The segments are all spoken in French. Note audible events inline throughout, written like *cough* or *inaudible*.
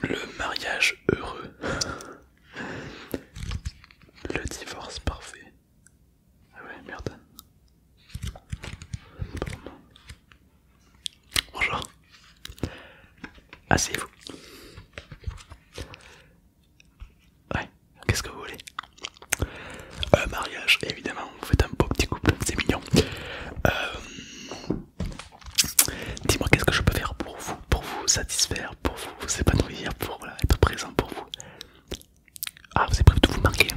Le mariage heureux. Le divorce parfait. Ah Bonjour. Asseyez-vous. Ouais, qu'est-ce que vous voulez un Mariage, évidemment, vous faites un beau petit couple, c'est mignon. Euh, dis-moi qu'est-ce que je peux faire pour vous, pour vous satisfaire, pour vous, épanouir, pour être présent pour vous. Ah, vous avez prévu de vous marier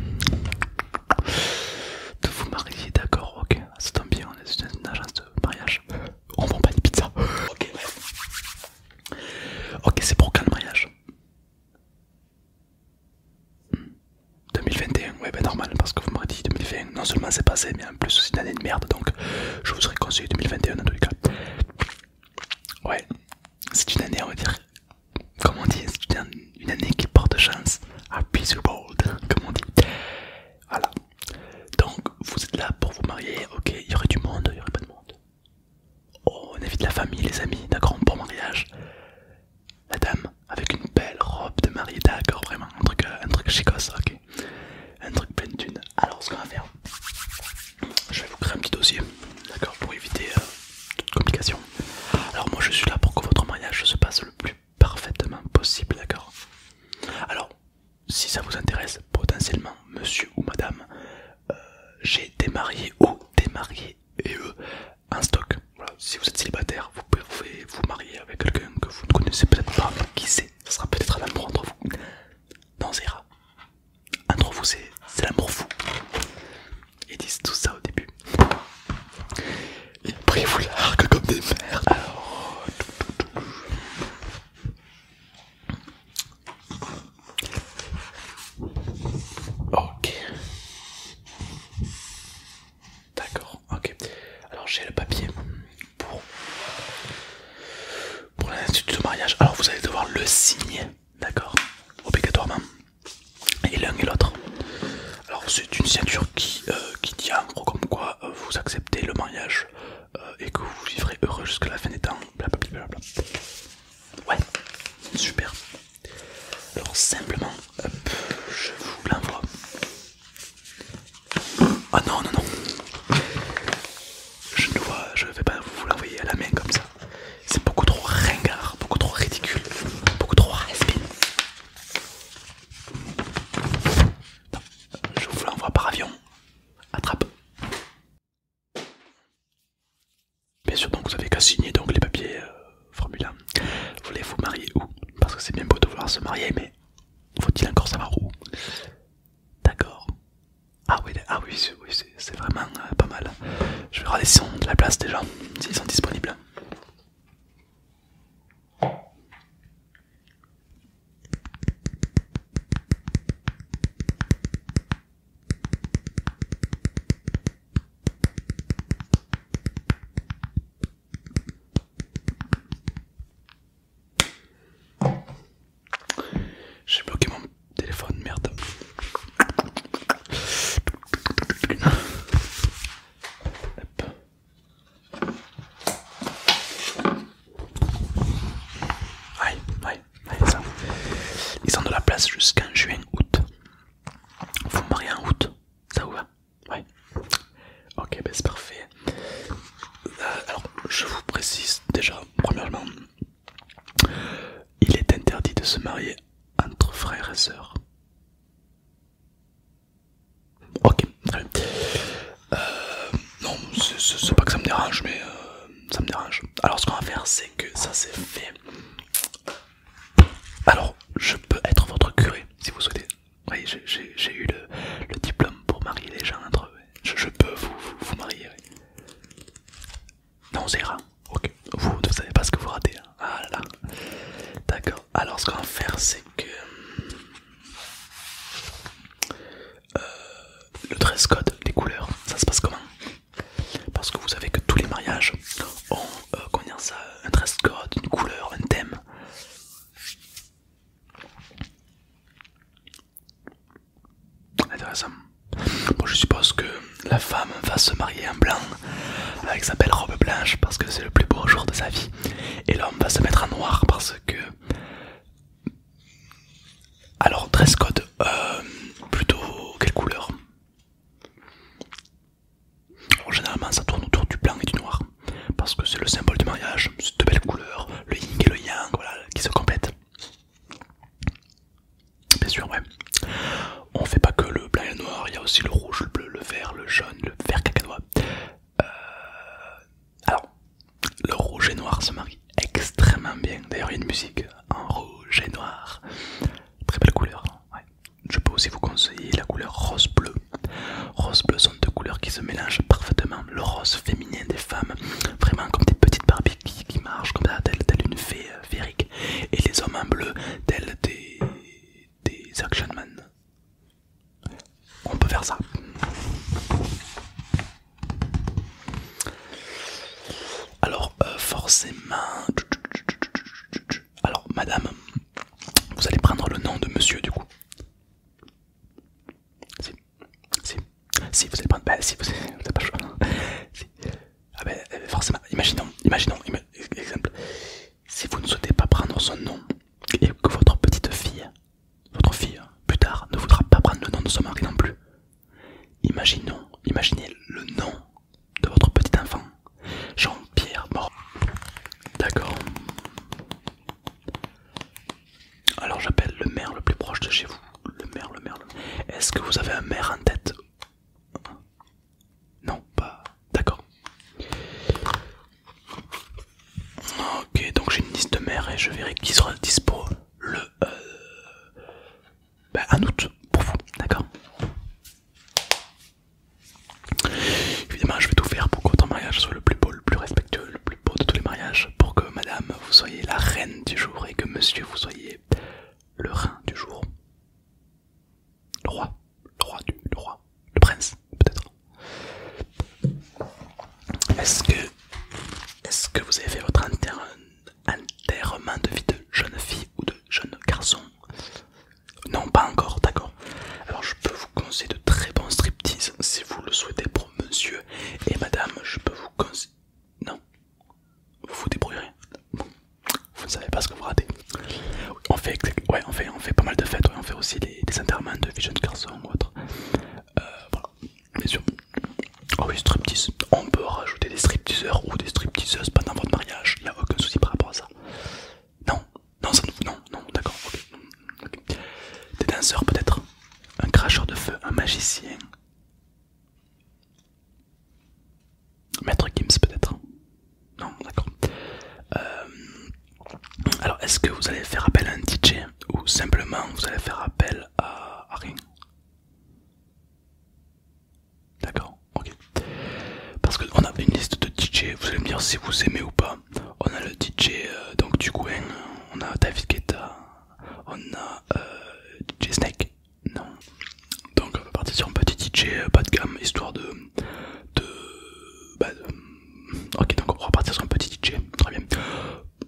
De vous marier, d'accord, ok. Ah, ça tombe bien, on est une agence de mariage. Oh, on vend pas une pizza Ok, Ok, c'est pour quand le mariage 2021, hmm. ouais, ben normal, parce que vous m'avez dit 2021, non seulement c'est passé, mais en plus c'est une année de merde, donc je vous serais conseillé 2021 dans tous les cas. Ouais, c'est une année, on va dire, comme on dit, c'est une année qui porte chance. à the world, comme on dit. Voilà. Donc, vous êtes là pour vous marier, ok, il y aurait du monde, il y aurait pas de monde. Oh, on évite la famille, les amis, d'accord, bon mariage. La dame, avec une belle robe de mariée, d'accord, vraiment, un truc, euh, un ok. Un truc plein de thunes. Alors, ce qu'on va faire, je vais vous créer un petit dossier, d'accord, pour éviter... Euh, toute complication. Alors moi je suis là pour que votre mariage se passe le plus parfaitement possible, d'accord Alors, si ça vous intéresse, potentiellement, monsieur ou madame, euh, j'ai des mariés ou des mariés et eux en stock. si vous êtes célibataire, vous pouvez vous marier avec quelqu'un que vous ne connaissez peut-être pas, qui sait, ça sera peut-être un amour entre vous. Non, ça ira. Entre vous, c'est l'amour fou. Ils disent tout ça au début. Ils vous comme des merdes. Alors... Ok. D'accord, ok. Alors j'ai le papier pour, pour l'institut de mariage. Alors vous allez devoir le signer, d'accord Obligatoirement et l'un et l'autre. Alors c'est une ceinture qui, euh, qui dit en gros comme quoi euh, vous acceptez le mariage euh, et que vous vivrez heureux jusqu'à la fin des temps. Ouais, super. Alors simplement, je vous l'envoie. Ah non, non, non. Je ne vois, je vais pas vous l'envoyer à la main comme ça. C'est beaucoup trop ringard, beaucoup trop ridicule, beaucoup trop raspine. Je vous l'envoie par avion. Attrape. Bien sûr, donc vous avez qu'à signer donc les papiers euh, formule. Vous voulez vous marier où Parce que c'est bien beau de vouloir se marier, mais faut-il encore savoir où D'accord. Ah oui, ah oui, oui c'est vraiment euh, pas mal. Je vais regarder si de la place déjà, s'ils sont disponibles. J'ai bloqué mon Téléphone, merde. Ouais, ouais, ça. Ils ont de la place jusqu'en juin, août. Vous me mariez en août, ça vous va Ouais. Ok, ben, c'est parfait. Euh, alors, je vous précise déjà, premièrement, il est interdit de se marier entre frères et sœurs. Ok, Euh, non, c'est pas que ça me dérange, mais euh, ça me dérange. Alors, ce qu'on va faire, c'est que ça c'est fait. Alors, je peux être votre curé si vous souhaitez. Oui, j'ai eu le, diplôme pour marier les gens entre eux. Je, peux vous, marier. Non, c'est rien. Ok, vous ne savez pas ce que vous ratez. Hein. Ah là D'accord. Alors, ce qu'on va faire, c'est que. Euh, le dress code, les couleurs, ça se passe comment Parce que vous savez que tous les mariages ont euh, combien ça, un dress code, une couleur, un thème. Intéressant. Bon, je suppose que la femme va se marier en blanc avec sa belle robe blanche parce que c'est le plus beau jour de sa vie. Et l'homme va se mettre en noir parce que. Alors, dress code, euh, plutôt quelle couleur Généralement, ça tourne autour du blanc et du noir parce que c'est le symbole du mariage, c'est deux belles couleurs, le yin et le yang, voilà, qui se complètent. Bien sûr, On fait pas que le blanc et le noir, il y a aussi le rouge, le bleu, le vert, le jaune, le vert cacanois. Euh, alors, le rouge et noir se marient extrêmement bien. D'ailleurs, il y a une musique en rouge et noir. Très belle couleur. Je peux aussi vous conseiller la couleur rose-bleu. Rose-bleu sont deux couleurs qui se mélangent parfaitement. Le rose féminin des femmes, vraiment comme des petites barbes qui, marche comme ça, telle, telle une fée euh, férique et les hommes en bleu, tels des, action man. On peut faire ça. Alors, forcément. Alors, madame, vous allez prendre le nom de monsieur du coup. Si, si, si, vous allez prendre. si, vous pas ah ben, euh, forcément, imaginons, imaginons, exemple. Si vous ne souhaitez pas prendre son nom et que votre petite fille, votre fille, hein, plus tard, ne voudra pas prendre le nom de son mari non plus, imaginons, imaginez le nom de votre petit enfant. Jean-Pierre Mort. D'accord. Alors j'appelle le maire le plus proche de chez vous. Le maire, le maire, Est-ce que vous avez un maire en tête Non, pas. D'accord. Ok, donc j'ai une liste de maires et je verrai qui sera dispo le. Euh, ben, en août pour vous, d'accord Évidemment, je vais tout faire pour que votre mariage soit le plus beau, le plus respectueux, le plus beau de tous les mariages pour que madame vous soyez la reine du jour et que monsieur vous soyez le rein du jour. Le roi, roi du le prince peut-être. Est-ce que est-ce que vous avez fait votre enterrement de vie de jeune fille ou de jeune garçon Non, pas encore, d'accord. Alors je peux vous conseiller de très bons striptease si vous le souhaitez monsieur et madame, je peux vous conseiller. Non, vous vous débrouillez Vous ne savez pas ce que vous ratez. On fait, ouais, on fait, on fait pas mal de fêtes, on fait aussi des, enterrements de vision jeunes garçons ou autre. Euh, voilà, bien sûr. Oh oui, On peut rajouter des stripteaseurs ou des stripteaseuses pendant votre mariage, il n'y a aucun souci par rapport à ça. Non, non, ça Non, non, d'accord, ok. Des danseurs peut-être Un cracheur de feu Un magicien Maître Gims peut-être Non, d'accord. Euh, alors, est-ce que vous allez faire appel à un DJ ou simplement vous allez faire appel à, à rien D'accord, ok. Parce qu'on a une liste de DJ, vous allez me dire si vous aimez ou pas on a le DJ euh, donc du coin, on a David Guetta, on a euh, DJ Snake, non. Donc on va partir sur un petit DJ pas euh, de gamme, histoire bah, de... Ok donc on va partir sur un petit DJ, très bien.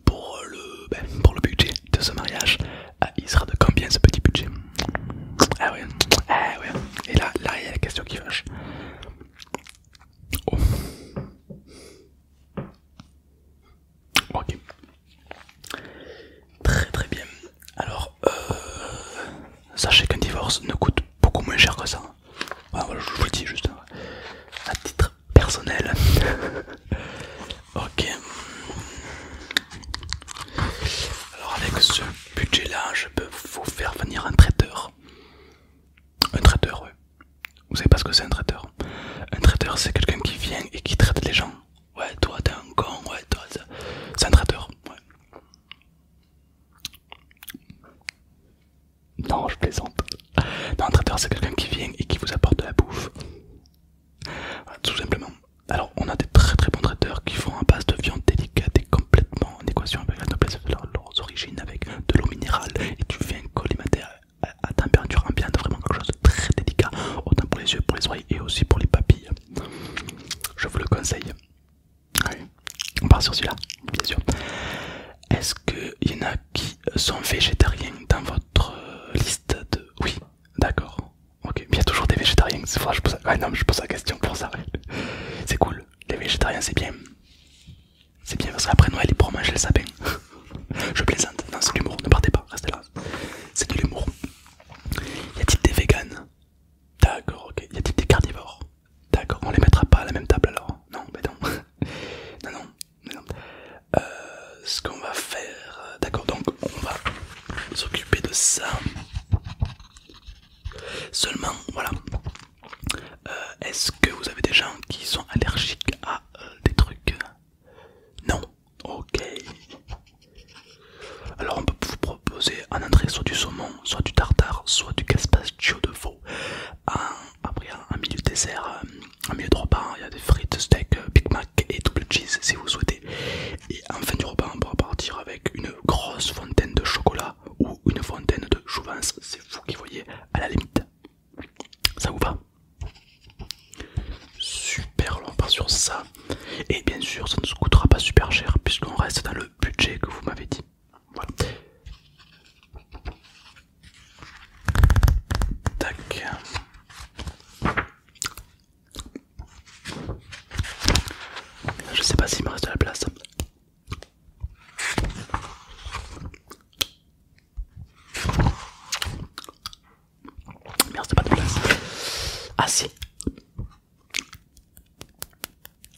Pour le, ben, pour le budget de ce mariage, ah, il sera de combien ce petit budget Ah ouais, ah ouais. Et là, là il y a la question qui fâche. Oh. Ok. Très très bien. Alors, euh, sachez qu'un divorce ne coûte beaucoup moins cher que ça. je vous le dis juste hein. à titre personnel. *laughs* ok. Alors avec ce budget là, je peux vous faire venir un traiteur. Un traiteur, ouais. Vous savez pas ce que c'est un traiteur Un traiteur, c'est quelqu'un qui vient et qui traite les gens. Ouais, toi t'es un con, ouais, toi c'est un traiteur. Non, je plaisante. Non, un traiteur, c'est quelqu'un qui vient et qui vous apporte de la bouffe. tout simplement. Alors, on a des très très bons traiteurs qui font un base de viande délicate et complètement en équation avec la noblesse de leurs origines, avec de l'eau minérale, et tu viens collimater à, température ambiante, vraiment quelque chose de très délicat, autant pour les yeux, pour les oreilles et aussi pour les papilles. Je vous le conseille. On part sur celui-là, bien sûr. Est-ce qu'il y en a qui sont végétariens dans votre euh, liste de. Oui, d'accord. Ok, il y a toujours des végétariens, c'est je pose, je pose la question pour ça. C'est cool, les végétariens c'est bien. C'est bien parce qu'après Noël, il pourra manger le sapin. Je plaisante, non, c'est de l'humour, ne partez pas, restez là. C'est de l'humour. Y a-t-il des végans D'accord, ok. Y a-t-il des carnivores D'accord, on les mettra pas à la même table alors Non, mais non. *laughs* non, non, non. Euh, ce qu'on va faire, euh, d'accord, donc on va s'occuper de ça. Seulement, voilà. Euh, est-ce que vous avez des gens qui sont allergiques à euh, des trucs Non Ok. Alors on peut vous proposer un entrée soit du saumon, soit du tartare, soit du caspaccio de veau. après en milieu de dessert, en euh, milieu de repas, il y a des frites, steak, Big Mac et double cheese si vous souhaitez. Et en fin du repas, on pourra partir avec une grosse fontaine de chocolat ou une fontaine de Jouvence, c'est vous qui voyez à la limite. Ça vous va Super, on part sur ça. Et bien sûr, ça ne se coûtera pas super cher puisqu'on reste dans le budget que vous m'avez dit. Voilà. Tac. Je sais pas s'il me reste de la place me reste pas de place. Ah si.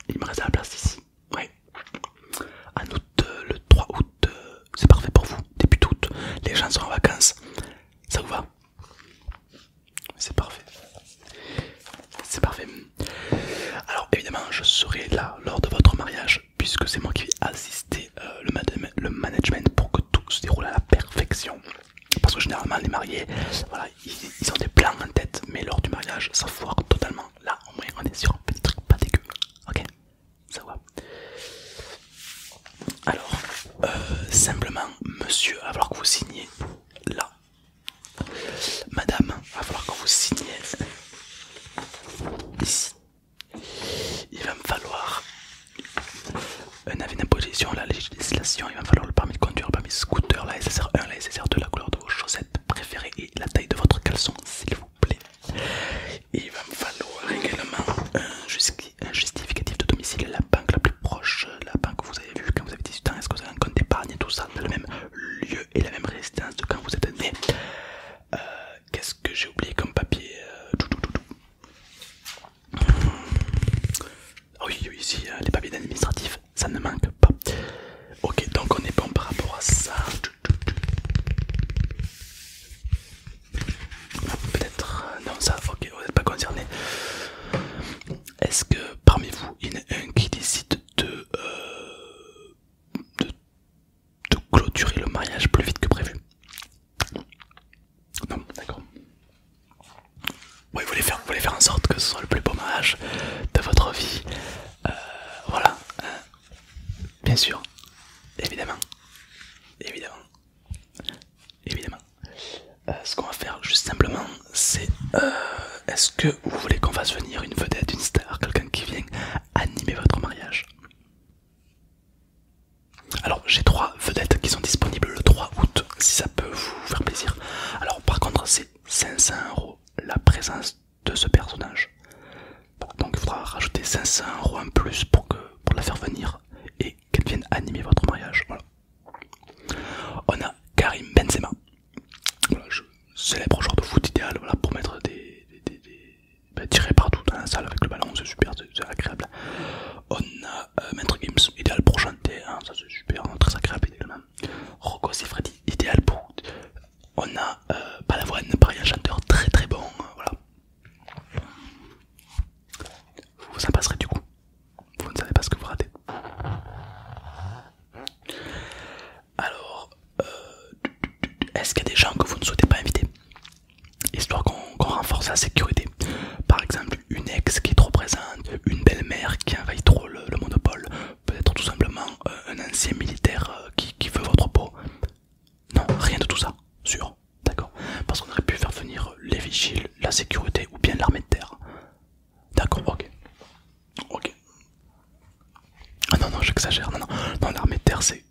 Il me reste la place ici. Oui, En août, le 3 août, c'est parfait pour vous. Début août, les gens sont en vacances. Ça vous va C'est parfait. C'est parfait. Alors évidemment, je serai là lors de votre mariage puisque c'est moi qui vais assister euh, le, management pour que tout se déroule à la perfection. Parce que généralement les mariés, voilà, ils, ont des plans en tête, mais lors du mariage, ça foire totalement. Là, au moins, on est sur un petit truc pas dégueu. Ok, ça va. Alors, euh, simplement, monsieur, il que vous signez là Madame, il va falloir que vous signiez ici. Il va me falloir un avis d'imposition, la législation, il va falloir le permis de conduire, le permis de scooter, la SSR1, la SSR2, la couleur de vos chaussettes préférées et la taille de votre caleçon, s'il vous plaît. il va me falloir également un, justificatif de domicile, la banque, la plus proche euh, lapin que vous avez vu quand vous avez 18 ans Est-ce que vous avez un compte d'épargne et tout ça dans le même lieu et la même résidence de quand vous êtes né euh, Qu'est-ce que j'ai oublié comme papier euh, ah oui, ici les papiers administratifs, ça ne manque pas. Ok, donc on est bon par rapport à ça. Ah, peut-être, non, ça, ok, vous n'êtes pas concerné. Est-ce que parmi vous, il y en a un qui décide de, euh, de, clôturer le mariage plus vite que prévu Non, d'accord. Oui, vous voulez, faire, vous voulez faire en sorte que ce soit le plus beau mariage de votre vie. Euh, voilà. Hein. bien sûr. Évidemment. Évidemment. Évidemment. Euh, ce qu'on va faire juste simplement c'est euh, est-ce que vous voulez qu'on fasse venir une vedette, une star, quelqu'un qui vienne animer votre mariage alors j'ai trois vedettes qui sont disponibles le 3 août si ça peut vous faire plaisir. Alors par contre c'est 500 euros la présence de ce personnage. donc il faudra rajouter 500 euros en plus pour, que, pour la faire venir qu'elle vienne animer votre mariage. Voilà. On a Karim Benzema, C'est je, célèbre joueur de foot idéal pour mettre des. Bah, tirer partout dans la salle avec le ballon, c'est super, c'est agréable. On a euh, Maître Gims, idéal pour chanter, hein, ça c'est super, hein, très agréable également. Rocco Sifredi, idéal pour. On a euh, Balavoine, pareil, un chanteur très très bon, hein, voilà. Vous vous en passerez du coup. Vous ne savez pas ce que vous ratez. Alors, euh, est-ce qu'il y a des gens que vous ne souhaitez pas inviter Histoire qu'on renforce la sécurité. Par exemple, une ex qui est trop présente, une belle-mère qui envahit trop le, monopole, peut-être tout simplement euh, un ancien militaire euh, qui, qui veut votre peau. Non, rien de tout ça, sûr, d'accord Parce qu'on aurait pu faire venir les vigiles, la sécurité ou bien l'armée de terre. D'accord, ok. Ok. Ah non, non, j'exagère. Non, non, non l'armée de terre, c'est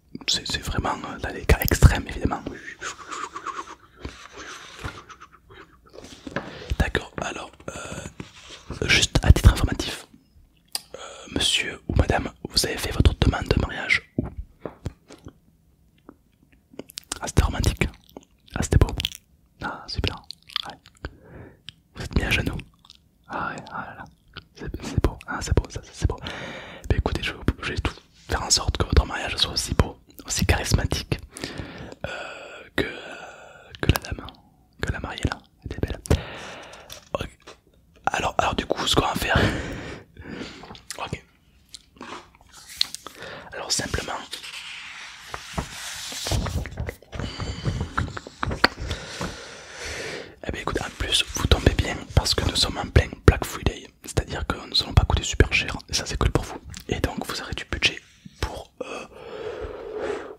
vraiment dans euh, les cas extrêmes, évidemment. D'accord, alors, euh, juste à titre informatif, euh, monsieur ou madame, vous avez fait votre demande de mariage ou ah, c'était romantique. Ah, c'était beau. Ah, super. Vous êtes mis à genoux. Ah, ouais, ah là là. C'est beau. Ah, c'est beau, ça, c'est beau. écoutez, je, vais tout faire en sorte que votre mariage soit aussi beau, aussi charismatique euh, euh, que, la dame, hein, que la mariée là. Elle est belle. Alors, alors, du coup, ce qu'on va faire. *laughs* ok. Alors simplement, eh bien écoute, en plus vous tombez bien parce que nous sommes en plein Black Friday, c'est-à-dire que nous allons pas coûter super cher, et ça c'est cool pour vous. Et donc vous aurez du budget pour euh,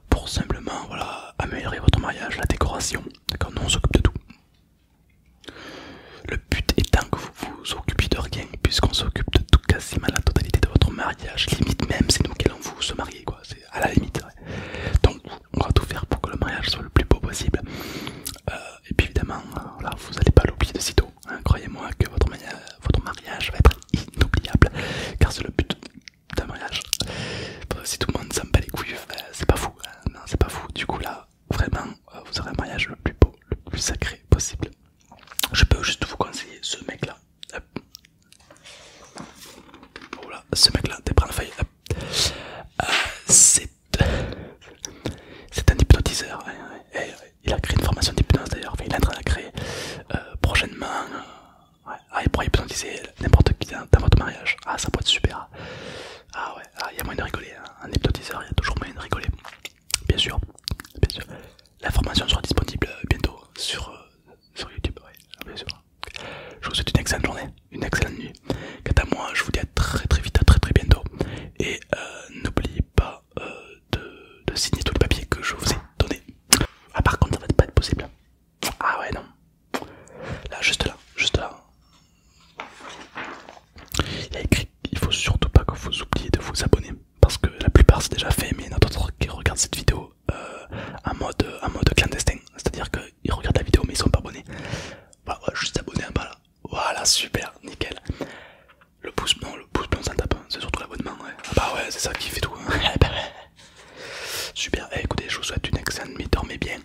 pour simplement voilà améliorer votre mariage, la décoration. D'accord, nous on s'occupe de tout. Le but étant que vous vous occupiez de rien, puisqu'on s'occupe de tout quasiment la totalité de votre mariage, limite même c'est nous qui allons vous se marier, quoi, c'est à la limite. Donc on va tout faire pour que le mariage soit le plus beau possible. Euh, et puis évidemment, vous n'allez pas l'oublier de sitôt. Hein. Croyez-moi que votre, mariage va être inoubliable, car c'est le but d'un mariage. Si tout le monde s'en bat les couilles, euh, c'est pas fou. Hein. Non, c'est pas fou. Du coup là, vraiment, euh, vous aurez un mariage le plus beau, le plus sacré possible. Je peux juste vous conseiller ce mec-là. ce mec-là, des de feuille. Euh, c'est un hypnotiseur. Hein, hein. Euh, il a créé une formation d'hypnose d'ailleurs. il est en train de créer prochainement. Ah, il pourra hypnotiser n'importe qui dans, votre mariage. Ah, ça pourrait être super. Ah ouais, ah, il y a moyen de rigoler. Hein. Un hypnotiseur, il y a toujours moyen de rigoler. Bien sûr, bien sûr. La formation sera disponible euh, bientôt sur, euh, sur YouTube, bien sûr. Je vous souhaite une excellente journée, une excellente nuit. Quant à moi, je vous dis à très très vite, à très très bientôt. Et euh, n'oubliez pas de, signer tous les papiers que je vous ai donnés. Ah par contre, ça va pas être possible. Ah ouais, non. Là, juste là, juste là. Il a écrit qu'il faut surtout pas que vous oubliez de vous abonner parce que la plupart c'est déjà fait mais il y en a d'autres qui regardent cette vidéo euh, en, mode, clandestin, c'est-à-dire qu'ils regardent la vidéo mais ils sont pas abonnés. Bah, hein, voilà, juste abonner en bas là. Voilà, super, nickel. Le pouce blanc, le pouce blanc ça tape, hein. c'est surtout l'abonnement. Ouais. Ah bah ouais, c'est ça qui fait tout. Hein. *laughs* Eh ben super, eh, écoutez, je vous souhaite une excellente nuit, dormez bien.